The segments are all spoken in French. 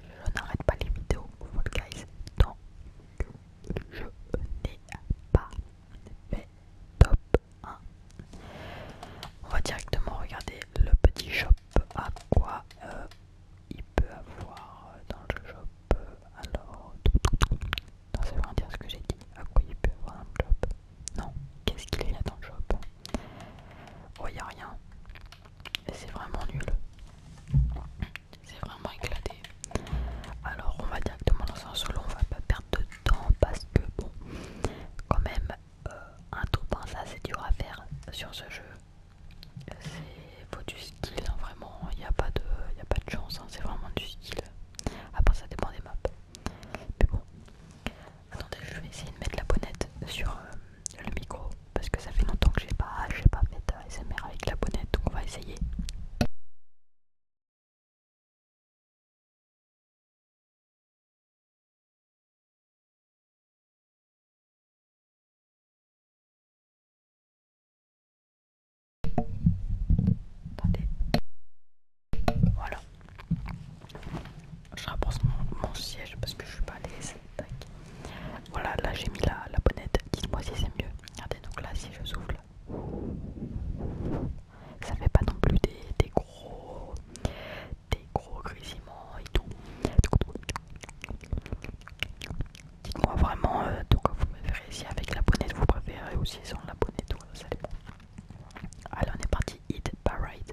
je n'arrête pas les vidéos Fall Guys tant je n'ai pas fait top 1. On va directement regarder le petit shop à quoi euh, il peut avoir euh, dans le shop. Euh, alors, non, c'est dire ce que j'ai dit. À quoi il peut avoir dans le shop Non, qu'est-ce qu'il y a dans le shop Oh, il n'y a rien c'est vraiment nul. C'est vraiment éclaté. Alors on va directement lancer un solo, on va pas perdre de temps parce que bon, quand même, euh, un top 1 ça c'est dur à faire sur ce jeu. C'est faut du skill, hein, vraiment, il n'y a, pas de chance, hein. c'est vraiment du skill. Après ça dépend des maps. Mais bon. Attendez, je vais essayer de mettre la bonnette sur, euh, le micro parce que ça fait longtemps que j'ai pas, pas fait SMR avec la bonnette donc on va essayer. Attendez. Voilà je rapproche mon, siège parce que je suis pas à l'aise. Voilà, là j'ai mis la, la bonnette. Dites-moi si c'est mieux. Regardez, donc là, si je souffle, ça fait pas non plus des, gros des gros et tout. Dites-moi vraiment euh, donc vous préférez Si avec la bonnette vous préférez aussi sans la bonnette, toi, ça Allez, on est parti. by parade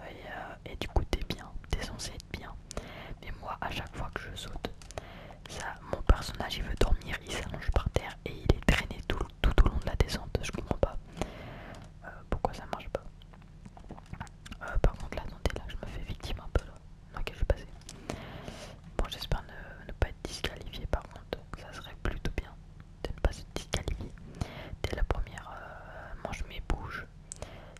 Euh, et, du coup t'es bien, t'es censé être bien. Mais moi à chaque fois que je saute, ça, mon personnage il veut dormir, il s'allonge par terre et il est traîné tout, au long de la descente, je comprends pas euh, pourquoi ça marche pas. Euh, par contre là tes là je me fais victime un peu là. Ok je vais passer. Bon j'espère ne, pas être disqualifié par contre, ça serait plutôt bien de ne pas être dès la première Mange euh, manche mais bouge.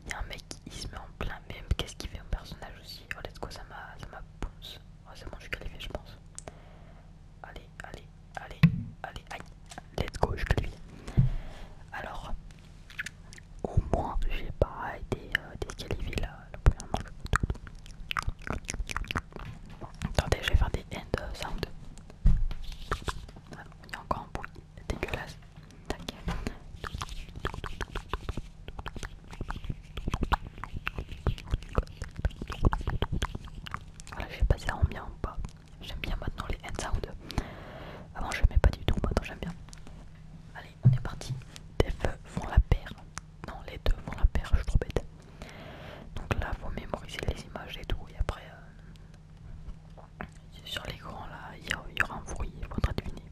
Il y a un mec qui se met en plein même. Qu'est-ce qu'il fait en personnage aussi Oh let's go, ça m'a ça m'a oh, c'est bon, je suis je pense. Allez, allez, allez, allez, aïe. Let's go, je suis qualifié. Alors, au moins, j'ai pas été euh, la première manche. Attendez, je vais faire des end euh, sound il y a encore un bruit dégueulasse. t'inquiète. Voilà, je sais pas si ça bien ou pas. J'aime bien maintenant les hand sounds. Avant, je n'aimais pas du tout, maintenant j'aime bien. Allez, on est parti. Des feux font la paire. Non, les deux font la paire, je suis trop bête. Donc là, faut mémoriser les images et tout, et après, euh, sur l'écran là, il y, aura un bruit, il faudra deviner.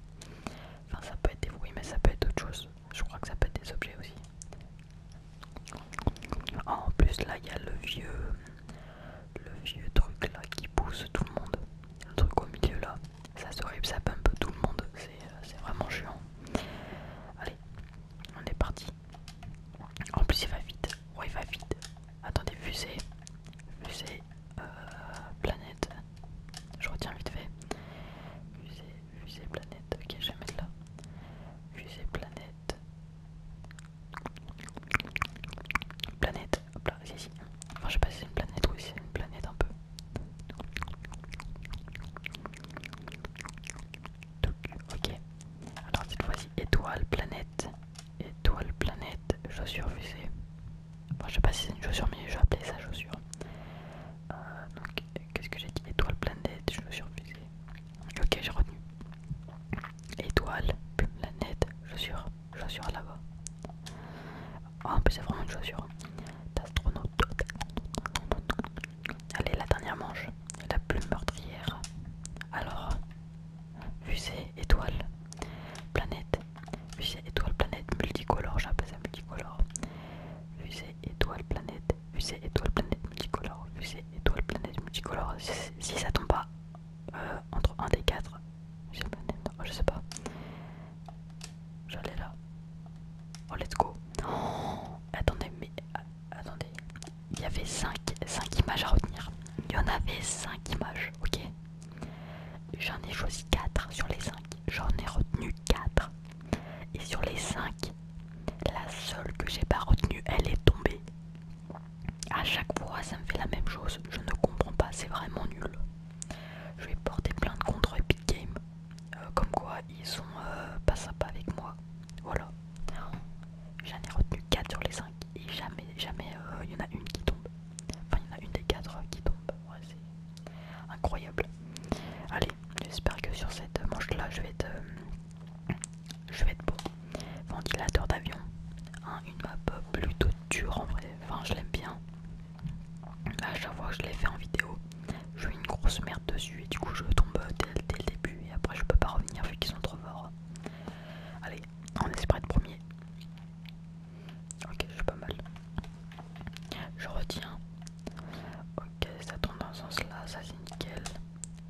Enfin, ça peut être des bruits, mais ça peut être autre chose. Je crois que ça peut être des objets aussi. Ah, en plus, là, il y a le vieux, le vieux truc là qui pousse tout le monde. Le truc au milieu là, ça se horrible, ça pump tout le monde. Euh, c'est vraiment chiant. Allez, on est parti. En plus il va vite. Ouais il va vite. Attendez, fusée. Fusée. Euh, planète. Je retiens vite fait. Fusée, fusée, planète. Ok, je vais là. Fusée, planète. Planète. Hop là, c'est ici. Enfin je sais pas si c'est une planète ou si c'est une planète un peu ok. Alors cette fois-ci, étoile, planète, étoile, planète, chaussure fusée. Enfin, je sais pas si c'est une chaussure, mais je vais appeler ça chaussure. Euh, donc, qu'est-ce que j'ai dit Étoile, planète, chaussure fusée. Ok, j'ai retenu. Étoile, planète, chaussure, chaussure là-bas. voix oh, c'est vraiment une chaussure. Astronaute Allez, la dernière manche, la plume meurtrière. Alors, fusée, étoile, planète, fusée, étoile, planète, multicolore, j'appelle ça multicolore. Fusée, étoile, planète, fusée, étoile, planète, multicolore, fusée, étoile, planète, multicolore. Si, ça tombe pas euh, entre un des quatre, fusée, oh, je sais pas. J'allais là. Oh, let's go. Oh, attendez, mais attendez, il y avait 5 cinq, images à retenir. Il y en avait 5 images, ok J'en ai choisi 4 sur les 5. J'en ai retenu 4. Et sur les 5, la seule que j'ai pas retenue, elle est tombée. À chaque fois, ça me fait la même chose. Je ne comprends pas, c'est vraiment nul. Je vais porter plainte contre Epic Game. Euh, comme quoi, ils sont euh, pas sympas avec moi. Voilà. J'en ai retenu 4 sur les 5 et jamais, jamais, euh, il y en a une qui tombe. Enfin, il y en a une des 4 euh, qui tombe. c'est incroyable. Allez, j'espère que sur cette manche-là, je vais être, euh, je vais être beau. Ventilateur d'avion. Hein, une map plutôt dure en vrai. Enfin, je l'aime bien. À chaque fois que je l'ai fait en vidéo, je une grosse merde dessus et du coup je tombe dès, le début et après je peux pas revenir vu qu'ils sont trop forts. Allez, on espère de premier. Ok, je suis pas mal. Je retiens. Ok, ça tombe dans ce sens là, ça c'est nickel.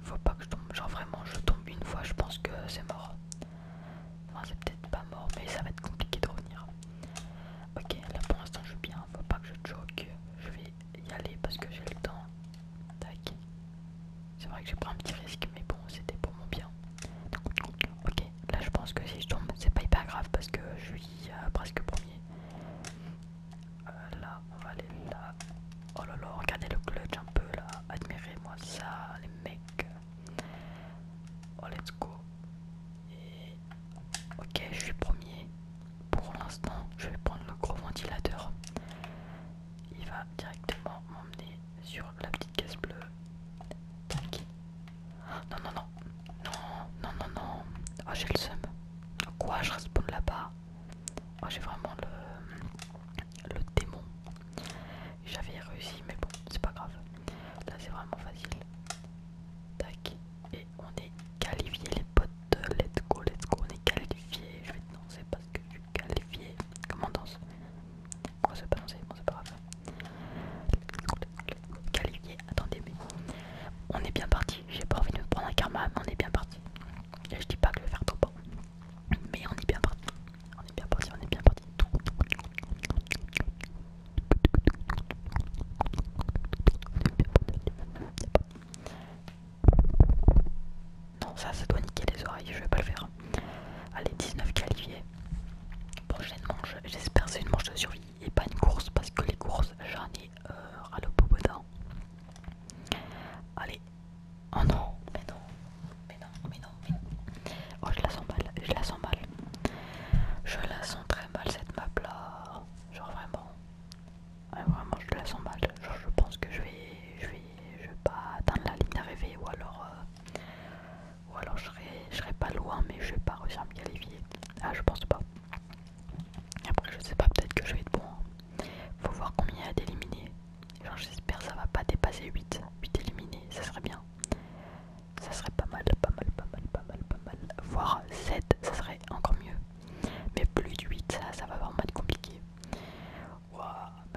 Faut pas que je tombe, genre vraiment je tombe une fois, je pense que c'est mort. Enfin, c'est peut-être pas mort, mais ça va être compliqué de revenir. Ok, là pour l'instant je suis bien, faut pas que je choque. Je vais y aller parce que j'ai le temps. Tac. C'est vrai que j'ai pris un petit risque, mais bon, c'était pour mon bien. Ok, là je pense que si je tombe, c'est pas hyper grave parce que je suis euh, presque premier. Euh, là, on va aller là. Oh là là, regardez le clutch un peu là. Admirez-moi ça, les mecs. Oh, let's go. Et... Ok, je suis premier pour l'instant, je vais prendre le gros ventilateur. Il va directement m'emmener sur la petite caisse bleue. Tac. Non, non, non. Non, non, non, non. Oh, j'ai le seum. Quoi, je respawn là-bas Oh, j'ai vraiment le, le démon. J'avais réussi, mais bon, c'est pas grave. Là, c'est vraiment facile. Tac. Et on est qualifié les potes. Let's go, let's go. On est qualifié. Je vais te danser parce que je suis qualifié. Comment on danse On va pas danser, bon c'est pas grave. Qualifié. Attendez, on est bien parti. J'ai pas envie de prendre un karma, mais on est bien parti. Et je dis pas que je vais faire trop bon. Mais on est bien parti. On est bien parti, on est bien parti. Non, ça, ça doit niquer les oreilles, je vais pas le faire. Allez, 19 qualifiés. Prochaine manche, j'espère c'est une manche de survie et pas une course parce que les courses, j'en ai euh, ras dedans Allez, oh non, mais non, mais non, mais non, mais non. Oh, je la sens mal, je la sens mal. Je la sens très mal cette map là. Genre vraiment. vraiment je la sens mal. Genre je pense que je vais. Je vais, pas atteindre la ligne d'arrivée ou alors. Euh, ou alors je serai, je serai pas loin mais je vais pas réussir à me qualifier. Ah je pense pas. Après je sais pas, peut-être que je vais être bon. Hein. Faut voir combien il y a d'éliminés. Genre j'espère ça va pas dépasser 8. 8 éliminés, ça serait bien ça serait pas mal, pas mal, pas mal, pas mal, pas mal. Voire 7, ça serait encore mieux. Mais plus de 8, ça, ça va vraiment être compliqué.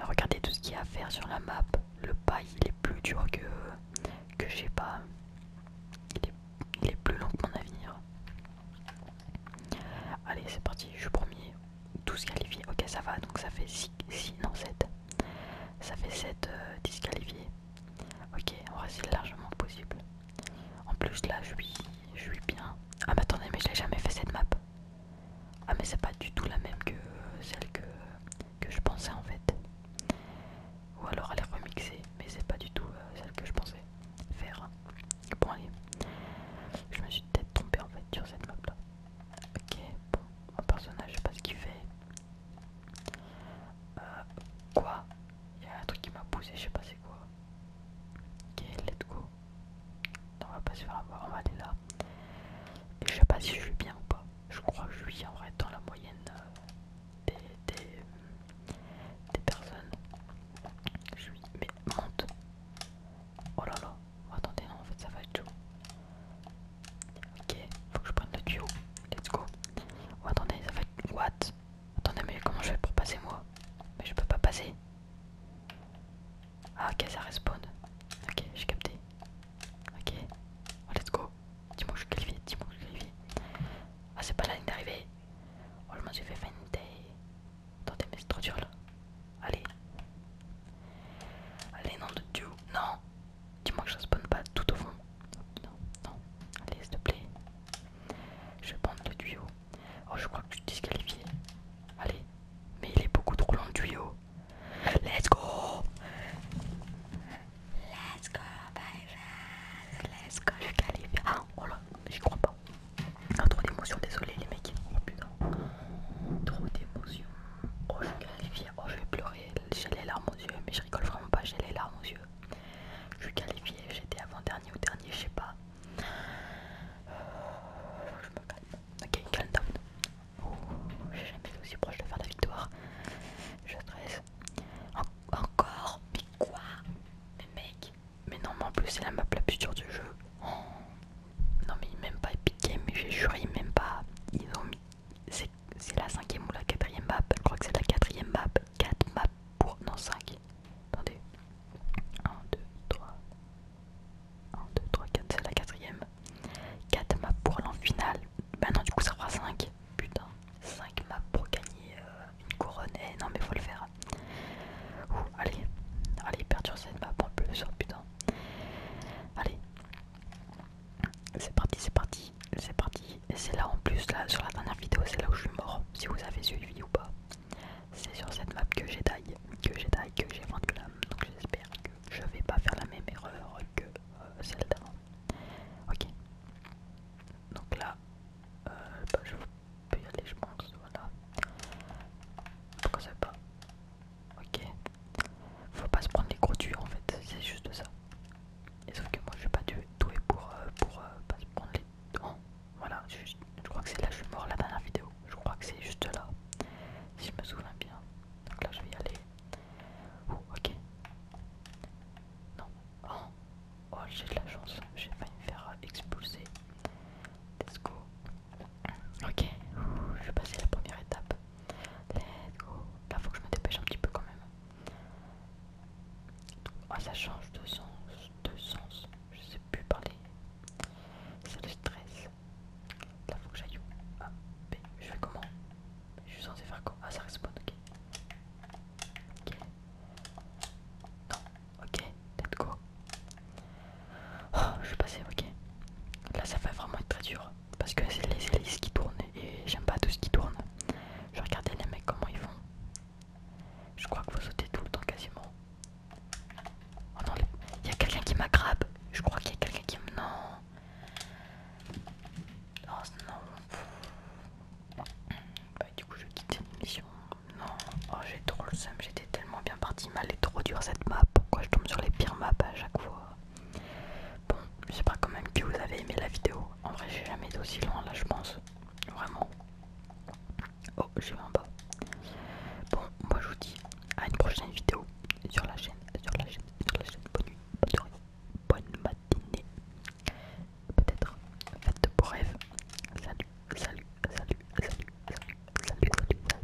regardez tout ce qu'il y a à faire sur la map. Le paille, il est plus dur que, que je pas. Il est, plus long que mon avenir. Allez, c'est parti, je suis premier. 12 qualifiés, ok, ça va, donc ça fait 6, non 7. Ça fait 7 euh, disqualifiés. Ok, va va c'est largement possible. En plus là je suis, je bien. Ah mais attendez mais je n'ai jamais fait cette map. Ah mais c'est pas du tout la même que celle que, que je pensais en fait. Ou alors elle est remixée mais c'est pas du tout euh, celle que je pensais faire. Bon allez. Je me suis peut-être trompé en fait sur cette map là. Ok, bon, mon personnage je sais pas ce qu'il fait. Euh, quoi Il y a un truc qui m'a poussé, je sais pas c'est quoi. Ok, let's go. on va pas se faire avoir, on va aller là. je sais pas si je suis bien ou pas. Je crois que je suis en vrai dans la moyenne euh, des, des, personnes. Je suis. Mais monte Oh là là Attendez, non, en fait ça va être chaud. Ok, faut que je prenne le duo, Let's go. Oh, attendez, ça va être. What Attendez, mais comment je fais pour passer moi Mais je peux pas passer. Ah, ok, ça respawn. Ok, j'ai capté. Ok, oh, let's go. Dis-moi je suis qualifié, dis-moi je suis qualifié. Ah, c'est pas la ligne d'arrivée. Oh, je m'en suis fait day. Attendez, mais c'est trop dur là. Allez. Allez, nom de duo, Non, Dis-moi que je ne spawn pas tout au fond. Non, non. Allez, s'il te plaît. Je vais prendre le tuyau. Oh, je crois que je suis disqualifié. Allez. Mais il est beaucoup trop long le tuyau. Let's go Let's go, baby Let's go, je qualifié. Ah, oh là, j'y crois pas. Ah, trop d'émotion, désolé les mecs. Oh putain. Trop d'émotion. Oh, je qualifié. Oh, je vais pleurer j'ai les larmes aux yeux, mais je rigole vraiment pas, j'ai les larmes aux yeux. Je suis qualifiée, j'étais avant-dernier ou dernier, je sais pas. Euh, je me calme. Ok, calm oh, j'ai jamais été aussi proche de faire la victoire. Je stresse. encore Mais quoi Mais mec Mais non, mais en plus, c'est la map la plus dure du jeu. Oh. Non, mais ils m'aiment pas Epic Game, j'ai juré, ils m'aiment pas. Ils ont mis c'est la cinquième ou la quatrième map, je crois que c'est la quatrième map, 4 maps pour, non 5, attendez, 1, 2, 3, 1, 2, 3, 4, c'est la quatrième, 4 maps pour l'an final bah non du coup ça fera 5, putain, 5 maps pour gagner euh, une couronne, eh non mais faut le faire, allez, allez perdure cette map en plus, hein, putain, allez, c'est parti, c'est parti, c'est parti. C'est là en plus, là sur la dernière vidéo, c'est là où je suis mort. Si vous avez suivi ou pas, c'est sur cette map que j'ai taille, que j'ai que j'ai vendu l'âme. Donc j'espère que je vais pas faire la même erreur que euh, celle d'avant. Ok. Donc là, euh, bah, je peux y aller, je pense. Voilà. Pourquoi ça va pas Ok. Faut pas se prendre les gros tuyaux en fait, c'est juste ça. sauf que moi je vais pas tuer pour, euh, pour euh, pas se prendre les. Oh, voilà, je, crois que c'est là, je suis mort la dernière vidéo. Je crois que c'est juste là. Si je me souviens bien. Donc là je vais y aller. ok. Non. Oh. oh, j'ai de la chance. J'ai pas me faire expulser. Let's go. Ok, je vais passer la première étape. Let's go. Là, bah, faut que je me dépêche un petit peu quand même. Oh, ça change de sens, de sens. Je sais plus parler. Ça le stress. Là, faut que j'aille où Ah, B. Je fais comment Je suis censé faire quoi Ah, ça respawn, ok. Ok. Non, ok. Let's go. Oh, je suis passé, ok. Là, ça va vraiment être très dur parce que c'est les hélices qui tournent et j'aime pas tout ce qui tourne. Je regardais les mecs comment ils font. Je crois que vous sautez tout le temps quasiment. Oh non, il y a quelqu'un qui m'aggrave Je crois qu'il y a quelqu'un qui me. Non. Oh, non. Bah, du coup, je quitte une Non. Oh, j'ai trop le seum. J'étais tellement bien parti. mal et trop dur cette map. Pourquoi je tombe sur les pires maps à chaque fois Bon, je sais pas quand même que vous avez aimé la vidéo. En vrai, j'ai jamais été aussi loin là, je pense. Vraiment. Oh, vais en bas. Bon, moi je vous dis à une prochaine vidéo sur la chaîne, sur la chaîne, sur la chaîne. Bonne nuit, bonne soirée, bonne matinée. Peut-être faites de beaux rêves. Salut, salut, salut, salut, salut, salut, salut. salut.